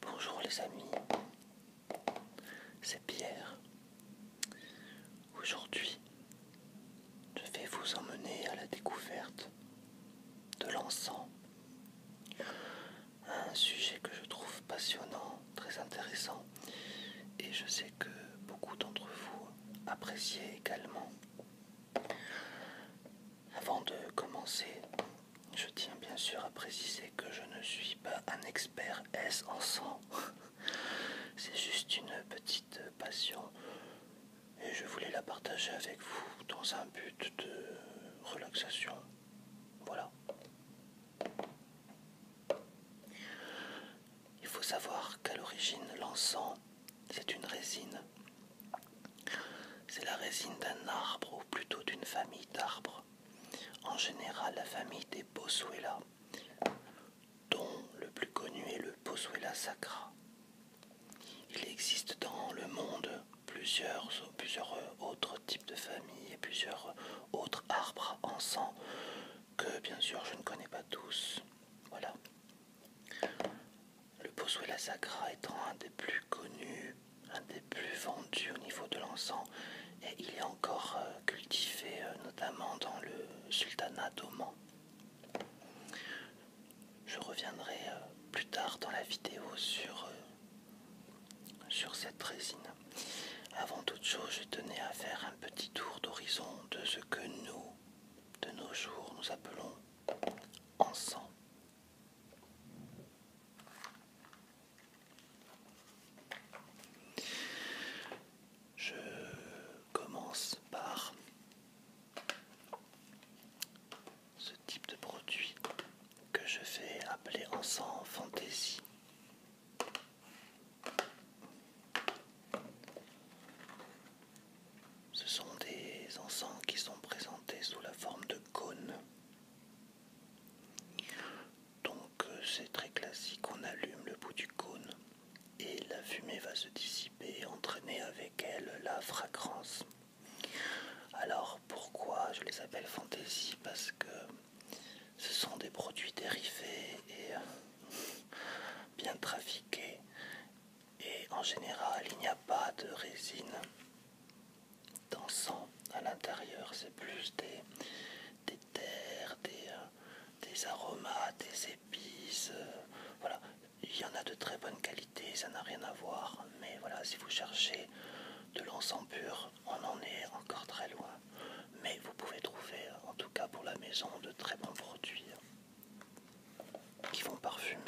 Bonjour les amis, c'est Pierre. Aujourd'hui, je vais vous emmener à la découverte de l'encens un sujet que je trouve passionnant, très intéressant, et je sais que beaucoup d'entre vous appréciez également. Avant de commencer, je tiens bien sûr à préciser que je ne suis pas un expert S en sang. C'est juste une petite passion et je voulais la partager avec vous dans un but de relaxation. Voilà. Il faut savoir qu'à l'origine, l'encens, c'est une résine. C'est la résine d'un arbre, ou plutôt d'une famille d'arbres. En général, la famille des boswellas. dont le plus connu est le boswella sacra. Il existe dans le monde plusieurs plusieurs euh, autres types de familles et plusieurs euh, autres arbres en sang que bien sûr je ne connais pas tous. Voilà. Le la sacra étant un des plus connus, un des plus vendus au niveau de l'encens et il est encore euh, cultivé notamment dans le sultanat d'Oman. Je reviendrai plus tard dans la vidéo sur sur cette résine. Avant toute chose, je tenais à faire un petit tour d'horizon de ce que nous, de nos jours, nous appelons encens. Je commence par ce type de produit que je fais appeler encens fantaisie ce sont des encens qui sont présentés sous la forme de cônes. Donc euh, c'est très classique, on allume le bout du cône et la fumée va se dissiper, entraîner avec elle la fragrance. Alors pourquoi je les appelle fantaisie Parce que ce sont des produits dérivés et euh, bien trafiqués. Et en général, il n'y a pas de résine d'encens à l'intérieur. C'est plus des, terres, des, euh, des aromates, des épices. Euh, voilà, il y en a de très bonne qualité, ça n'a rien à voir. Mais voilà, si vous cherchez de l'encens pur, on en est encore très loin, mais vous pouvez trouver, en tout cas pour la maison, de très bons produits qui vont parfumer.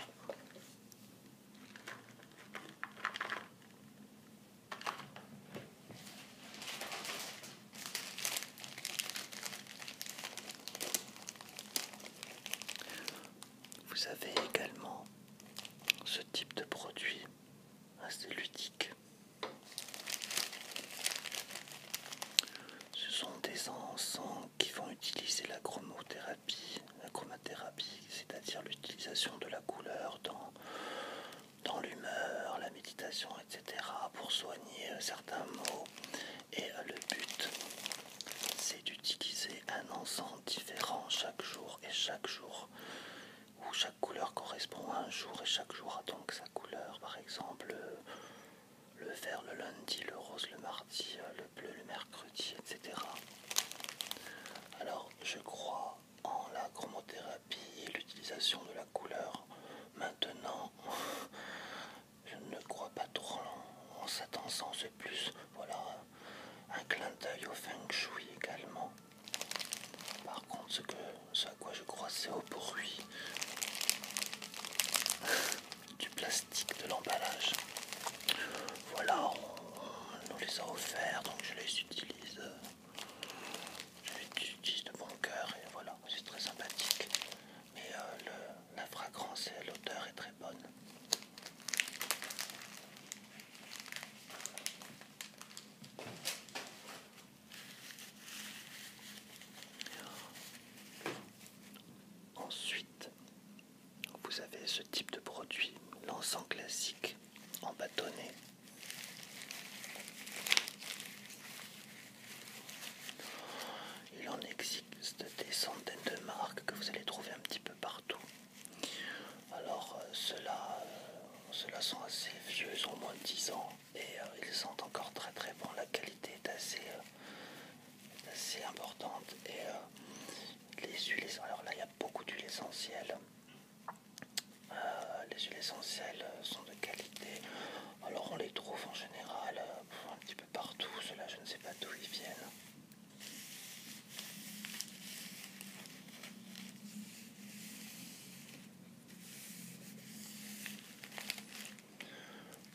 Vous avez également ce type de produit assez ludique ce sont des encens qui vont utiliser la chromothérapie, la chromathérapie, c'est-à-dire l'utilisation de la couleur dans, dans l'humeur, la méditation, etc., pour soigner euh, certains maux. Et euh, le but, c'est d'utiliser un encens différent chaque jour et chaque jour où chaque couleur correspond à un jour et chaque jour a donc sa couleur. Par exemple, le vert le lundi, le rose le mardi, euh, le bleu le mercredi, etc. Alors, je crois en la chromothérapie et l'utilisation de la couleur. Maintenant, je ne crois pas trop en cet c'est plus. Voilà, un clin d'œil au feng shui également. Par contre, ce, à quoi je crois, c'est au bruit du plastique de l'emballage. Voilà, on, nous les a offerts, donc je les utilise. de bon cœur et voilà, c'est très sympathique. Mais euh, le, la fragrance et l'odeur est très bonne. Ensuite, vous avez ce type de produit, l'encens classique en bâtonnet. Il en existe des centaines de marques que vous allez trouver un petit peu partout. Alors euh, euh, ceux-là sont assez vieux, ils ont moins de 10 ans et euh, ils sont encore très très bons. La qualité est assez, assez importante. Et les huiles, alors là il y a beaucoup d'huiles essentielles. les huiles essentielles sont de qualité. Alors on les trouve en général un petit peu partout. Ceux-là je ne sais pas d'où ils viennent.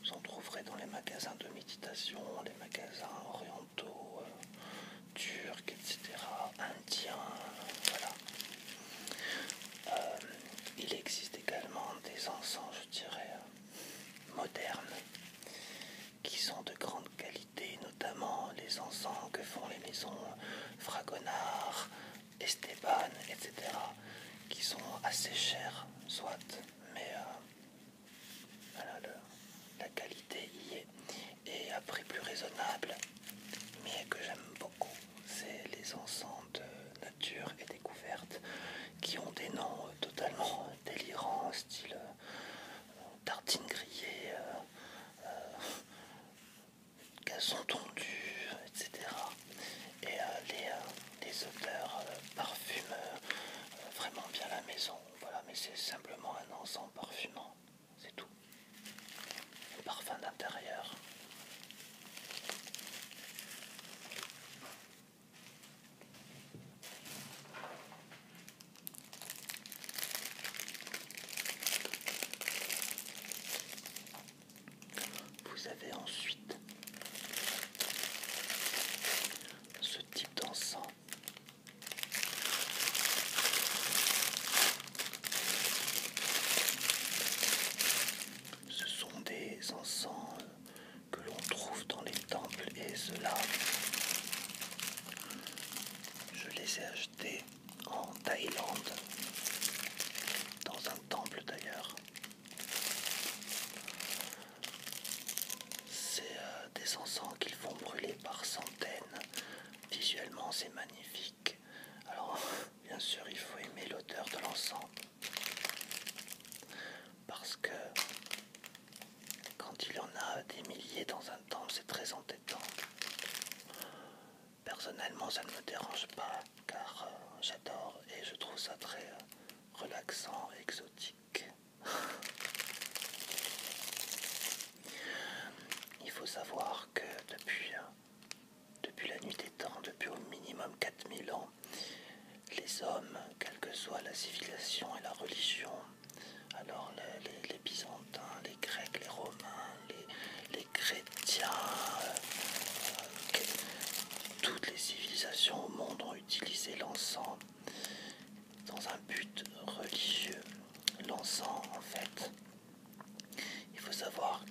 Vous en trouverez dans les magasins de méditation, les magasins orientaux, euh, turcs, etc., indiens, voilà. Euh, il existe également des encens, je dirais, modernes, qui sont de grande qualité, notamment les encens que font les maisons Fragonard, Esteban, etc. qui sont assez chers, soit, mais euh, la qualité y est. Et à prix plus raisonnable, mais que j'aime beaucoup, c'est les ensembles de nature et découverte qui ont des noms euh, totalement euh, délirants, style tartine grillée qu'elles sont tondues, etc. Et les, euh, euh, odeurs euh, vraiment bien la maison. Voilà, mais c'est simplement un ensemble parfumant, c'est tout. parfum d'intérieur. Vous avez ensuite ce type d'encens ce sont des encens euh, que l'on trouve dans les temples et cela, je les ai achetés en Thaïlande, dans un temple d'ailleurs. C'est euh, des encens qu'ils font brûler par centaines. Visuellement, c'est magnifique. Alors, bien sûr, il faut aimer l'odeur de l'encens. Parce que quand il y en a des milliers dans un temple, c'est très entêtant. Personnellement, ça ne me dérange pas car euh, j'adore et je trouve ça très euh, relaxant, exotique. Il faut savoir que euh, depuis, la nuit des temps, depuis au minimum 4000 ans, les hommes, quelle que soit la civilisation et la religion, alors les, les, les Grecs, les Romains, les, Chrétiens, euh, toutes les civilisations au monde ont utilisé l'encens dans un but religieux. L'encens, en fait, il faut savoir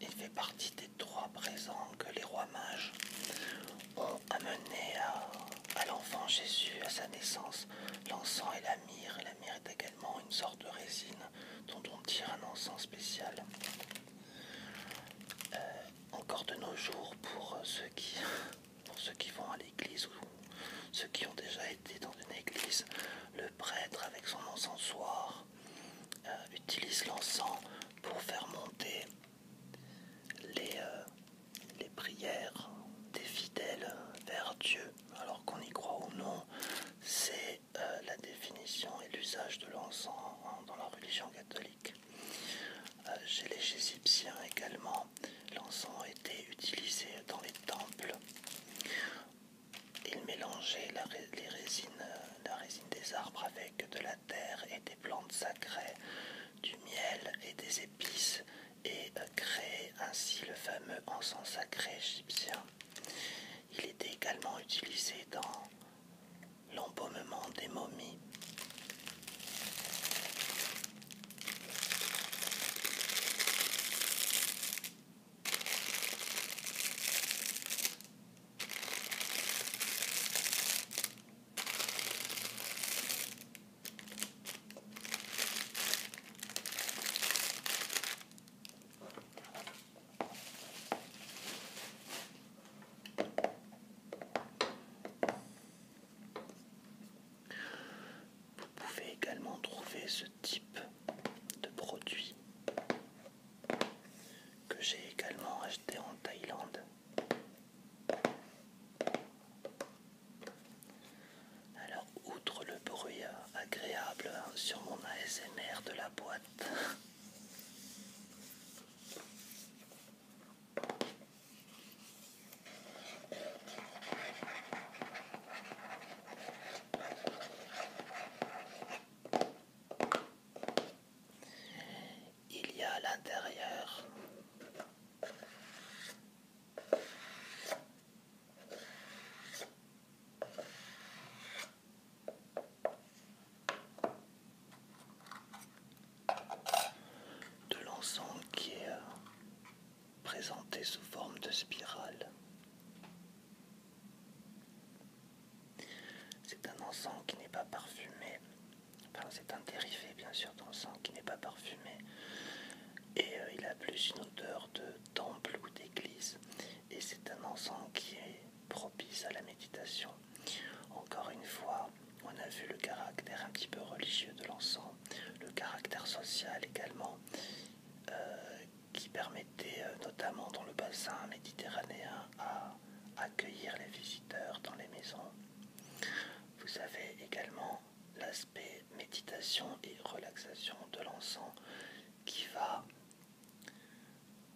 qu'il fait partie des trois présents que les rois mages ont amenés à, à l'enfant Jésus à sa naissance. L'encens et la myrrhe, la est également une sorte de résine dont on tire un encens spécial. Euh, encore de nos jours, euh, pour ceux qui, vont à l'église ou ceux qui ont déjà été dans une église, le prêtre avec son encensoir euh, utilise l'encens pour faire monter les prières des fidèles vers Dieu alors qu'on y croit ou non, c'est euh, la définition et l'usage de l'encens dans la religion catholique. Euh, chez les Égyptiens également, l'encens était utilisé dans les temples. Ils mélangeaient euh, la résine des arbres avec de la terre et des plantes sacrées, du miel et des épices et créé ainsi le fameux encens sacré égyptien. Il était également utilisé dans l'embaumement des momies. Vous pouvez également trouver ce type de produit que j'ai également acheté en Thaïlande. Alors, outre le bruit agréable sur mon ASMR de la boîte, il y a à l'intérieur de l'ensemble qui est euh, présenté sous forme de spirale. C'est un ensemble qui n'est pas parfumé, enfin c'est un dérivé bien sûr d'encens qui n'est pas parfumé et euh, il a plus une odeur de temple ou d'église. Et c'est un ensemble qui est propice à la méditation. Encore une fois, on a vu le caractère un petit peu religieux de l'ensemble, le caractère social également, euh, qui permettait euh, notamment dans le bassin méditerranéen à accueillir les visiteurs dans les maisons. Vous avez également l'aspect méditation et relaxation de l'encens qui va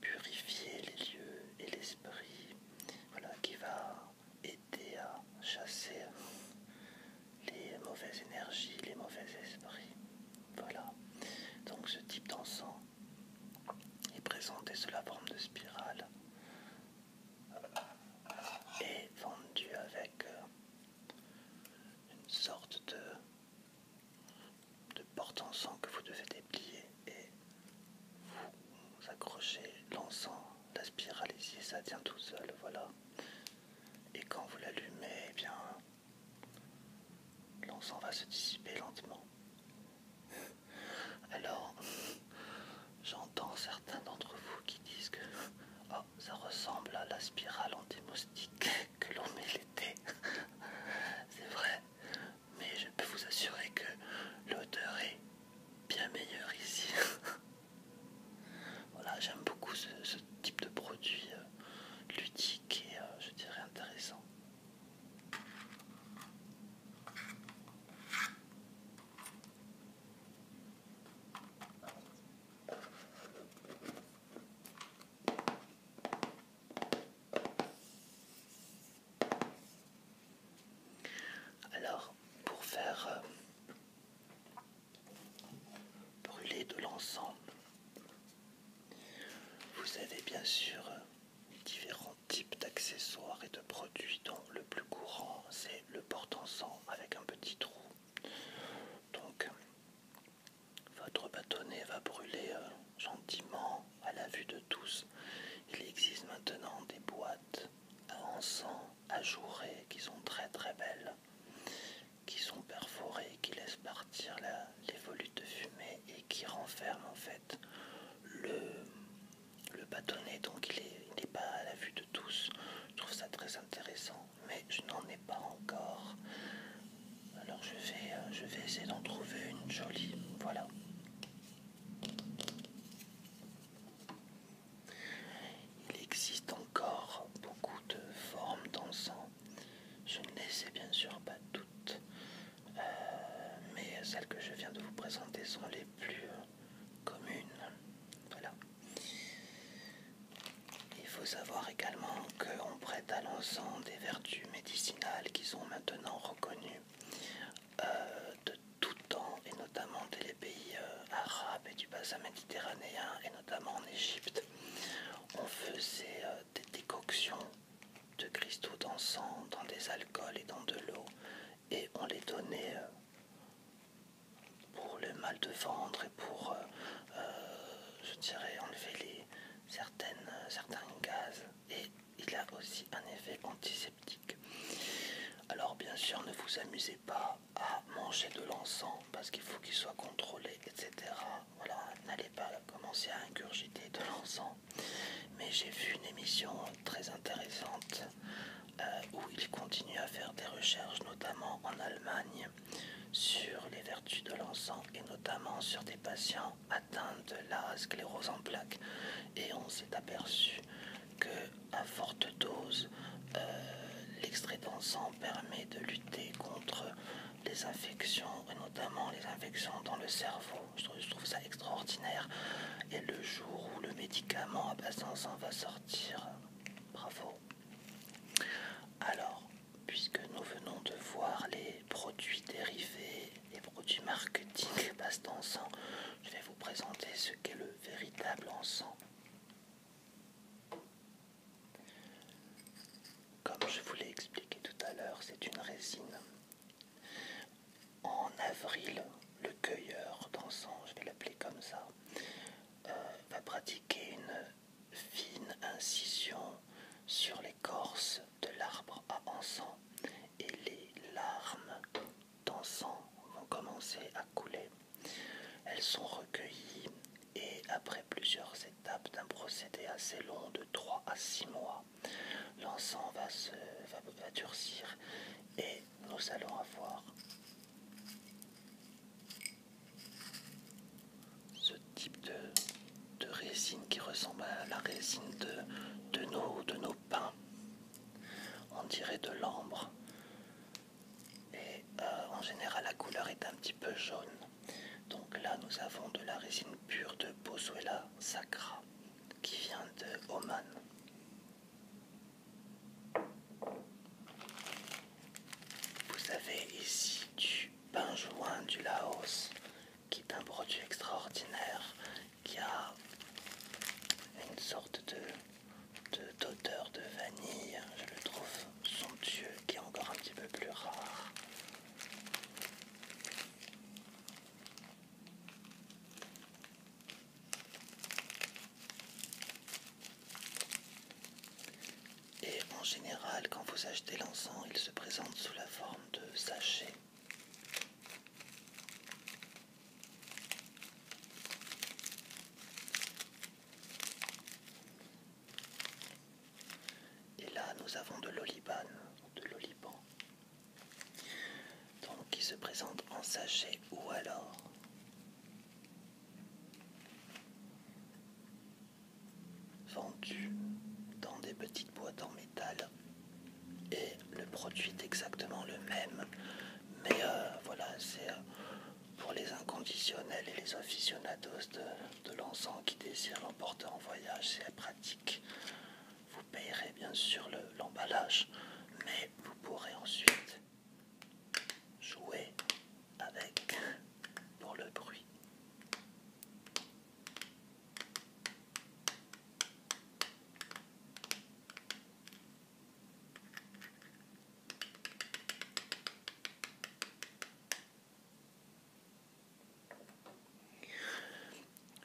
purifier les lieux et l'esprit, voilà, qui va aider à chasser les mauvaises énergies, les mauvais esprits. Voilà. Donc ce type d'encens est présenté sous la forme de spirale euh, et vendu avec euh, une sorte de, de porte en sang que vous devez déplier et vous accrochez l'encens, la spirale ici, ça tient tout seul, voilà. Et quand vous l'allumez, eh bien l'encens va se dissiper lentement. Alors, j'entends certains d'entre vous qui disent que oh, ça ressemble à la spirale anti-moustique que l'on met l'été. C'est vrai, mais je peux vous assurer que l'odeur est bien meilleure ici. Voilà, j'aime beaucoup ce, type de produit euh, ludique et euh, je dirais intéressant. Alors, pour faire euh, brûler de l'ensemble, vous avez bien sûr euh, différents types d'accessoires et de produits dont le plus courant c'est le porte-encens avec un petit trou. Donc votre bâtonnet va brûler euh, gentiment à la vue de tous. Il existe maintenant des boîtes à encens ajourées qui sont très très belles, qui sont perforées, qui laissent partir les volutes de fumée et qui renferment en fait le, bâtonnet. Donc il n'est pas à la vue de tous. Je trouve ça très intéressant mais je n'en ai pas encore. Alors je vais, euh, je vais essayer d'en trouver une jolie. Voilà. Il existe encore beaucoup de formes d'encens. Je ne les sais bien sûr pas toutes, euh, mais celles que je viens de vous présenter sont les plus euh, communes. Voilà. Il faut savoir également qu'on prête à l'encens des vertus médicinales qui sont maintenant reconnues euh, de tout temps, et notamment des les pays euh, arabes et du bassin méditerranéen, et notamment en Égypte. On faisait euh, des décoctions de cristaux d'encens dans des alcools et dans de l'eau, et on les donnait pour le mal de ventre et pour, euh, euh, je dirais, enlever les, certaines, euh, certains gaz. Et il a aussi un effet antiseptique. Alors bien sûr, ne vous amusez pas à manger de l'encens parce qu'il faut qu'il soit contrôlé, etc. Voilà, n'allez pas commencer à ingurgiter de l'encens. Mais j'ai vu une émission très intéressante où il continue à faire des recherches, notamment en Allemagne, sur les vertus de l'encens et notamment sur des patients atteints de la sclérose en plaques. Et on s'est aperçu que à forte dose, euh, l'extrait d'encens permet de lutter contre les infections, et notamment les infections dans le cerveau. je trouve ça extraordinaire. Et le jour où le médicament à base d'encens va sortir, bravo. Alors, puisque nous venons de voir les produits dérivés, les produits marketing base d'encens, je vais vous présenter ce qu'est le véritable encens. Comme je vous l'ai expliqué tout à l'heure, c'est une résine. En avril, le cueilleur d'encens, je vais l'appeler comme ça, euh, va pratiquer une fine incision sur l'écorce de l'arbre à encens et les larmes d'encens vont commencer à couler. Elles sont recueillies et après plusieurs étapes d'un procédé assez long de 3 à 6 mois, l'encens va, se, durcir et nous allons avoir ce type de, résine qui ressemble à la résine de, nos, de pains. On dirait de l'ambre. Et euh, en général, la couleur est un petit peu jaune. Donc là, nous avons de la résine pure de Bozuela Sacra qui vient de Oman. Vous avez ici du pain joint du Laos, qui est un produit extraordinaire, qui a une sorte de d'odeur de, de vanille. Je le trouve somptueux, qui est encore un petit peu plus rare. Et en général, quand vous achetez l'encens, il se présente sous la forme de sachets. Et là, nous avons de l'oliban, de l'oliban, donc il se présente en sachet ou alors vendu dans des petites boîtes en métal et le produit est exactement le même mais euh, voilà c'est euh, pour les inconditionnels et les aficionados de, l'encens qui désirent l'emporter en voyage c'est pratique vous payerez bien sûr l'emballage mais vous pourrez ensuite Jouer avec pour le bruit.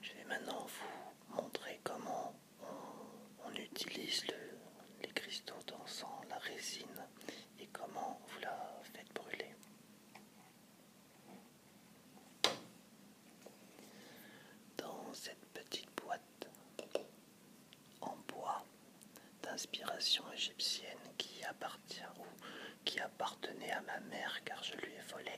Je vais maintenant vous montrer comment on, utilise les cristaux dansant la résine et comment vous la faites brûler. Dans cette petite boîte en bois d'inspiration égyptienne qui appartient qui appartenait à ma mère car je lui ai volé.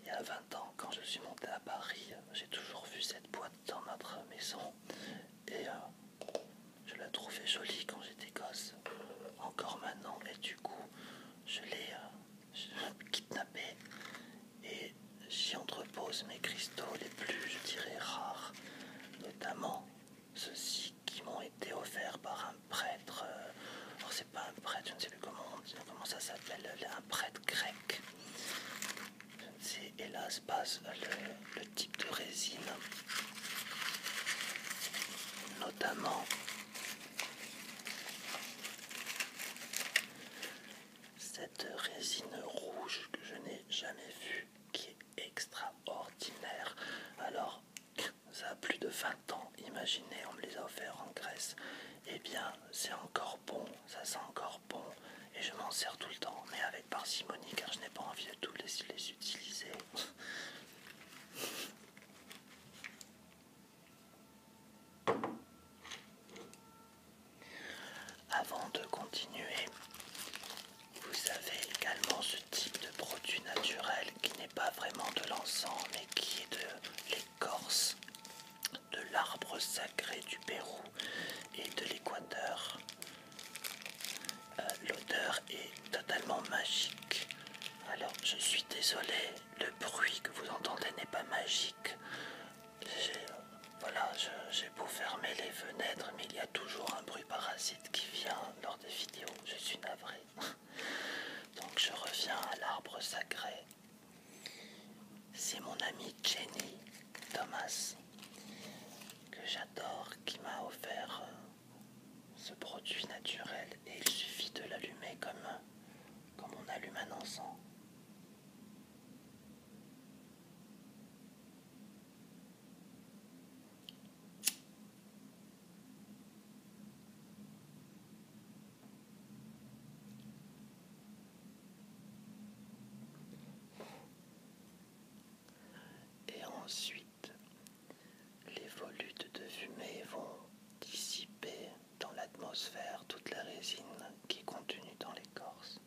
Il y a 20 ans, quand je suis monté à Paris, j'ai toujours vu cette boîte dans notre maison et je la trouvais jolie quand j'étais gosse. Encore maintenant, et du coup, euh, je l'ai kidnappée et j'y entrepose mes cristaux les plus, je dirais, rares, notamment ceux-ci qui m'ont été offerts par un prêtre. Euh, alors, c'est pas un prêtre, je ne sais plus comment, comment ça s'appelle, un prêtre grec c'est hélas passe le, type de résine, notamment cette résine rouge que je n'ai jamais vue, qui est extraordinaire. Alors, ça a plus de 20 ans, imaginez, on me les a offerts en Grèce. et eh bien, c'est encore bon ça sent encore bon et je m'en sers tout le temps, mais avec parcimonie car je n'ai pas envie de tous les, les utiliser. Avant de continuer, vous avez également ce type de produit naturel qui n'est pas vraiment de l'encens mais qui est de l'écorce de l'arbre sacré du Pérou et de l'Équateur. Euh, l'odeur est totalement magique. Alors je suis désolé, le bruit que vous entendez n'est pas magique. Euh, voilà, j'ai beau fermer les fenêtres, mais il y a toujours un bruit parasite qui vient lors des vidéos. Je suis navrée. Donc je reviens à l'arbre sacré. C'est mon ami Jenny Thomas que j'adore qui m'a offert euh, ce produit naturel et il suffit de l'allumer comme, on allume un encens. Et ensuite, les volutes de fumée vont dissiper dans l'atmosphère toute la résine qui contenue dans l'écorce.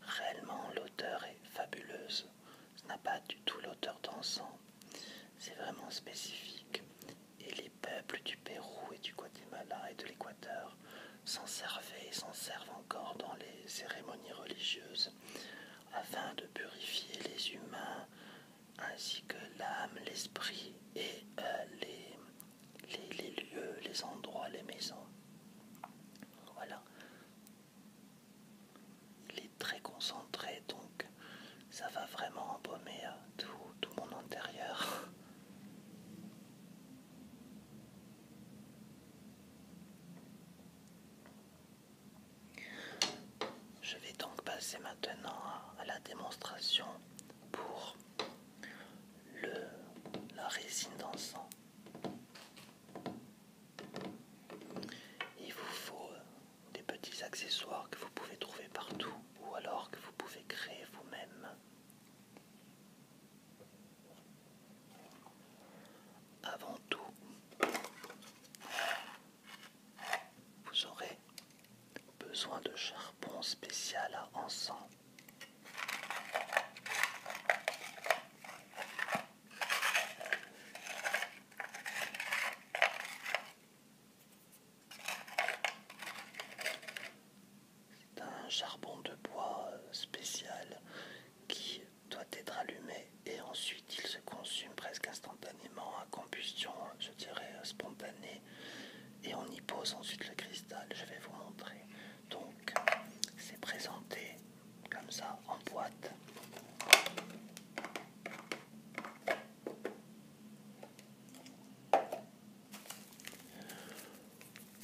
Réellement, l'odeur est fabuleuse. Ce n'a pas du tout l'odeur d'encens. C'est vraiment spécifique. Et les peuples du Pérou et du Guatemala et de l'Équateur s'en servaient et s'en servent encore dans les cérémonies religieuses afin de purifier les humains ainsi que l'âme, l'esprit et euh, les, lieux, les endroits, les maisons. Voilà. Il est très concentré donc ça va vraiment embaumer euh, tout, tout mon intérieur. Je vais donc passer maintenant à la démonstration pour la résine d'encens. Il vous faut euh, des petits accessoires que vous pouvez trouver partout ou alors que vous pouvez créer vous-même. Avant tout, vous aurez besoin de charbon spécial à encens un charbon de bois euh, spécial qui doit être allumé et ensuite il se consume presque instantanément à combustion, hein, je dirais euh, spontanée, et on y pose ensuite le cristal. Je vais vous montrer. Donc c'est présenté comme ça en boîte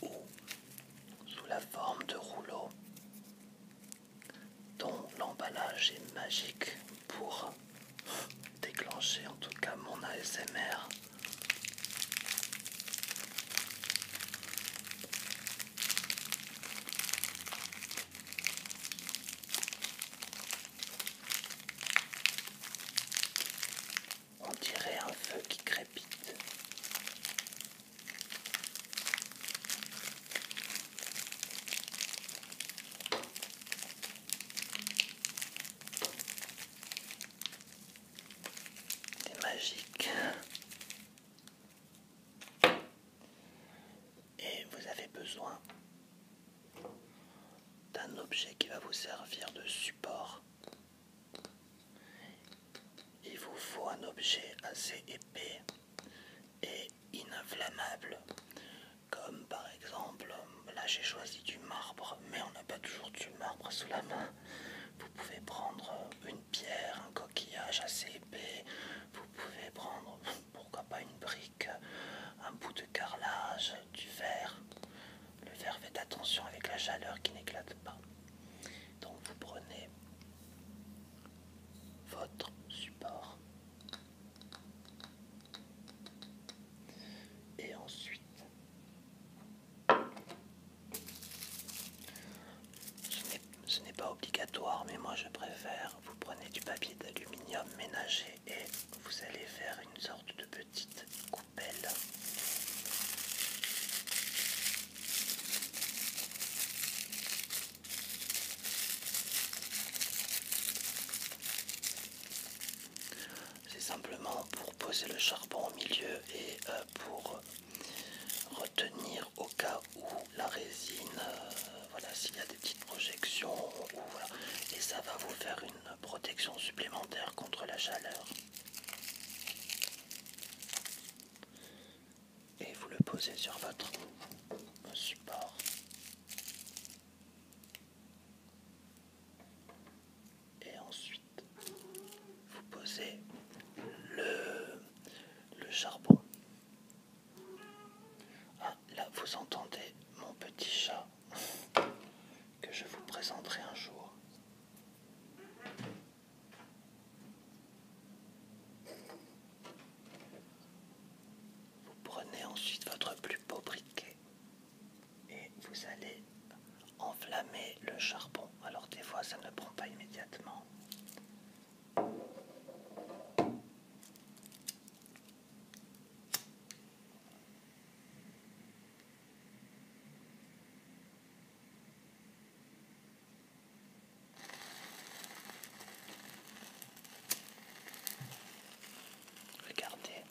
ou sous la forme de rouleaux dont l'emballage est magique pour déclencher en tout cas mon ASMR. On dirait un feu qui crépite. C'est magique. Et vous avez besoin d'un objet qui va vous servir de support il vous faut un objet assez épais et ininflammable, comme par exemple, là j'ai choisi du marbre, mais on n'a pas toujours du marbre sous la main. Vous pouvez prendre une pierre, un coquillage assez épais, vous pouvez prendre, pourquoi pas une brique, un bout de carrelage, du verre. Le verre, fait attention avec la chaleur qui n'éclate pas. Donc vous prenez votre support et ensuite ce n'est pas obligatoire mais moi je préfère vous prenez du papier d'aluminium ménager et vous allez faire une sorte de petite coupelle c'est simplement pour poser le charbon au milieu et euh, pour retenir au cas où la résine, euh, voilà, s'il y a des petites projections, et ça va vous faire une protection supplémentaire contre la chaleur et vous le posez sur votre support. Et ensuite, vous posez le, charbon. Ah, là, vous entendez mon petit chat que je vous présenterai un jour. Vous prenez ensuite votre plus beau briquet et vous allez enflammer le charbon. Alors des fois ça ne prend pas immédiatement. Regardez.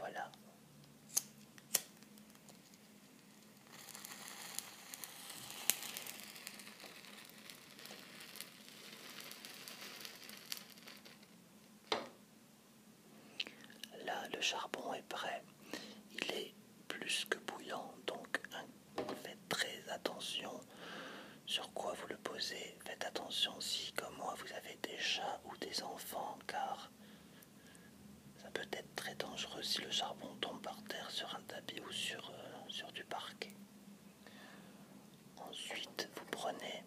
Voilà. Là, le charbon est prêt. Il est plus que bouillant, donc hein, faites très attention sur quoi vous le posez. Faites attention si, comme moi, vous avez des chats ou des enfants, car ça peut être très dangereux si le charbon tombe par terre sur un tapis ou sur, euh, sur du parquet. Ensuite, vous prenez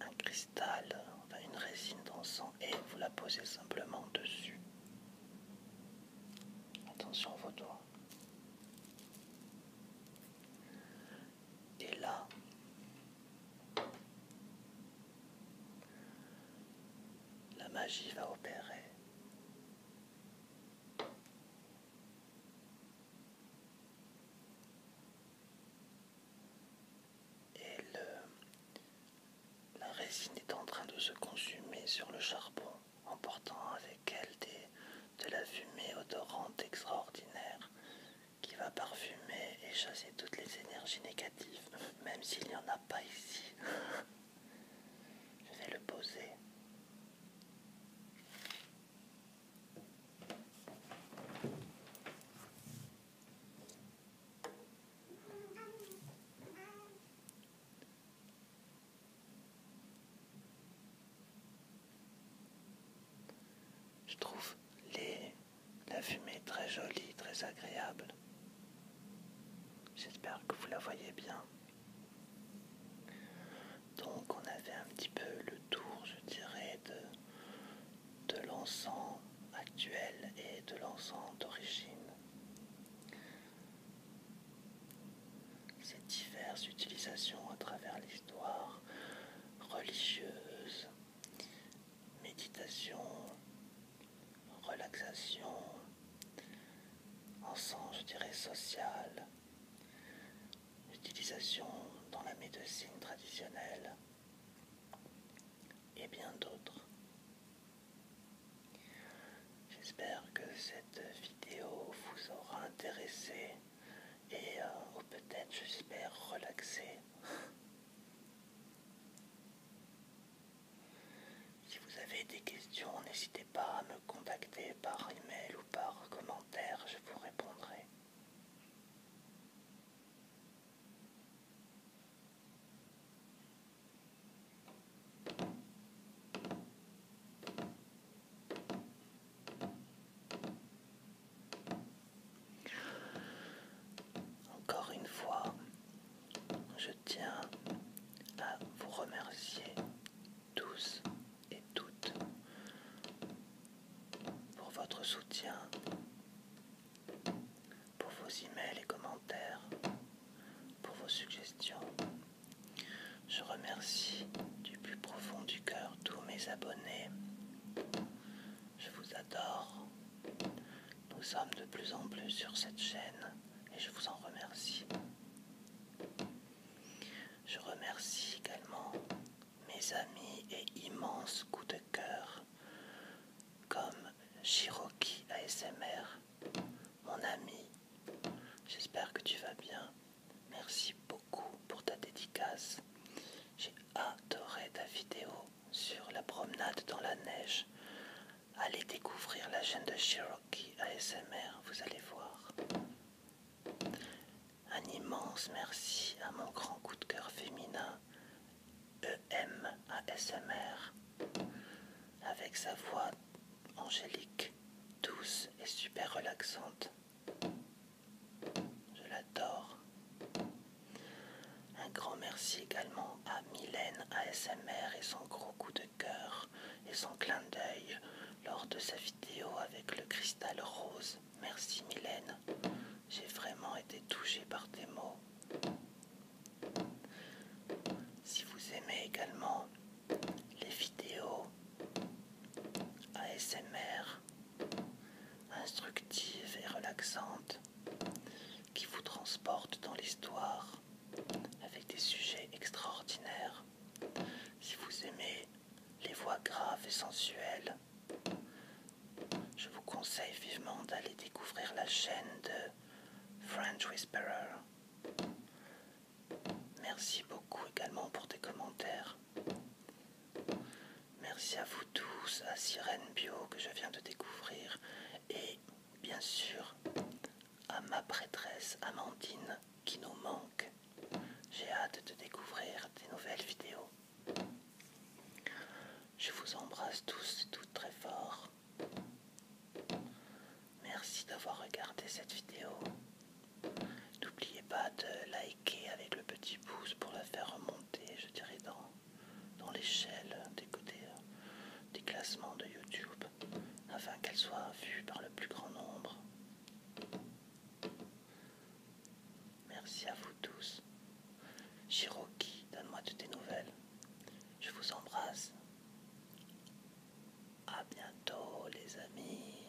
un cristal, enfin une résine d'encens et vous la posez simplement dessus. Attention à vos doigts. Et là, la magie va opérer. Et la résine est en train de se consumer sur le charbon, emportant avec elle de la fumée odorante extraordinaire qui va parfumer et chasser toutes les énergies négatives, même s'il n'y en a pas ici. Je vais le poser. Je trouve les, la fumée très jolie, très agréable. J'espère que vous la voyez bien. Donc on avait un petit peu le tour, je dirais, de, de l'encens actuel et de l'encens d'origine. Ces diverses utilisations à travers l'histoire religieuse, méditation, relaxation, en je dirais, social, utilisation dans la médecine traditionnelle et bien d'autres. J'espère que cette vidéo vous aura intéressé et euh, ou peut-être j'espère relaxé. Si vous avez des questions, n'hésitez pas à me contacter par email ou par commentaire, je vous répondrai. Encore une fois, je tiens à vous remercier tous et toutes pour votre soutien, pour vos emails et commentaires, pour vos suggestions. Je remercie du plus profond du cœur tous mes abonnés. Je vous adore. Nous sommes de plus en plus sur cette chaîne et je vous en remercie. Je remercie également mes amis et immenses coups de cœur comme Shiroki ASMR, mon ami. J'espère que tu vas bien. Merci beaucoup pour ta dédicace. J'ai adoré ta vidéo sur la promenade dans la neige Allez découvrir la chaîne de Cherokee ASMR, vous allez voir. Un immense merci à mon grand coup de cœur féminin, EM ASMR, avec sa voix angélique, douce et super relaxante. Je l'adore. Un grand merci également à Mylène ASMR et son gros coup de cœur et son clin d'œil lors de sa vidéo avec le cristal rose. Merci Mylène, j'ai vraiment été touchée par tes mots. Si vous aimez également les vidéos ASMR instructives et relaxantes qui vous transportent dans l'histoire avec des sujets extraordinaires. Si vous aimez les voix graves et sensuelles, je vous conseille vivement d'aller découvrir la chaîne de French Whisperer. Merci beaucoup également pour tes commentaires. Merci à vous tous, à Sirène Bio que je viens de découvrir et bien sûr, à ma prêtresse Amandine qui nous manque. J'ai hâte de découvrir des nouvelles vidéos. Je vous embrasse tous et toutes très fort. Merci d'avoir regardé cette vidéo. N'oubliez pas de liker avec le petit pouce pour la faire remonter, je dirais dans dans l'échelle des côtés euh, des classements de YouTube afin qu'elle soit vue par le plus grand nombre. Merci à vous tous. Chiroki, donne-moi de tes nouvelles. Je vous embrasse. A bientôt les amis.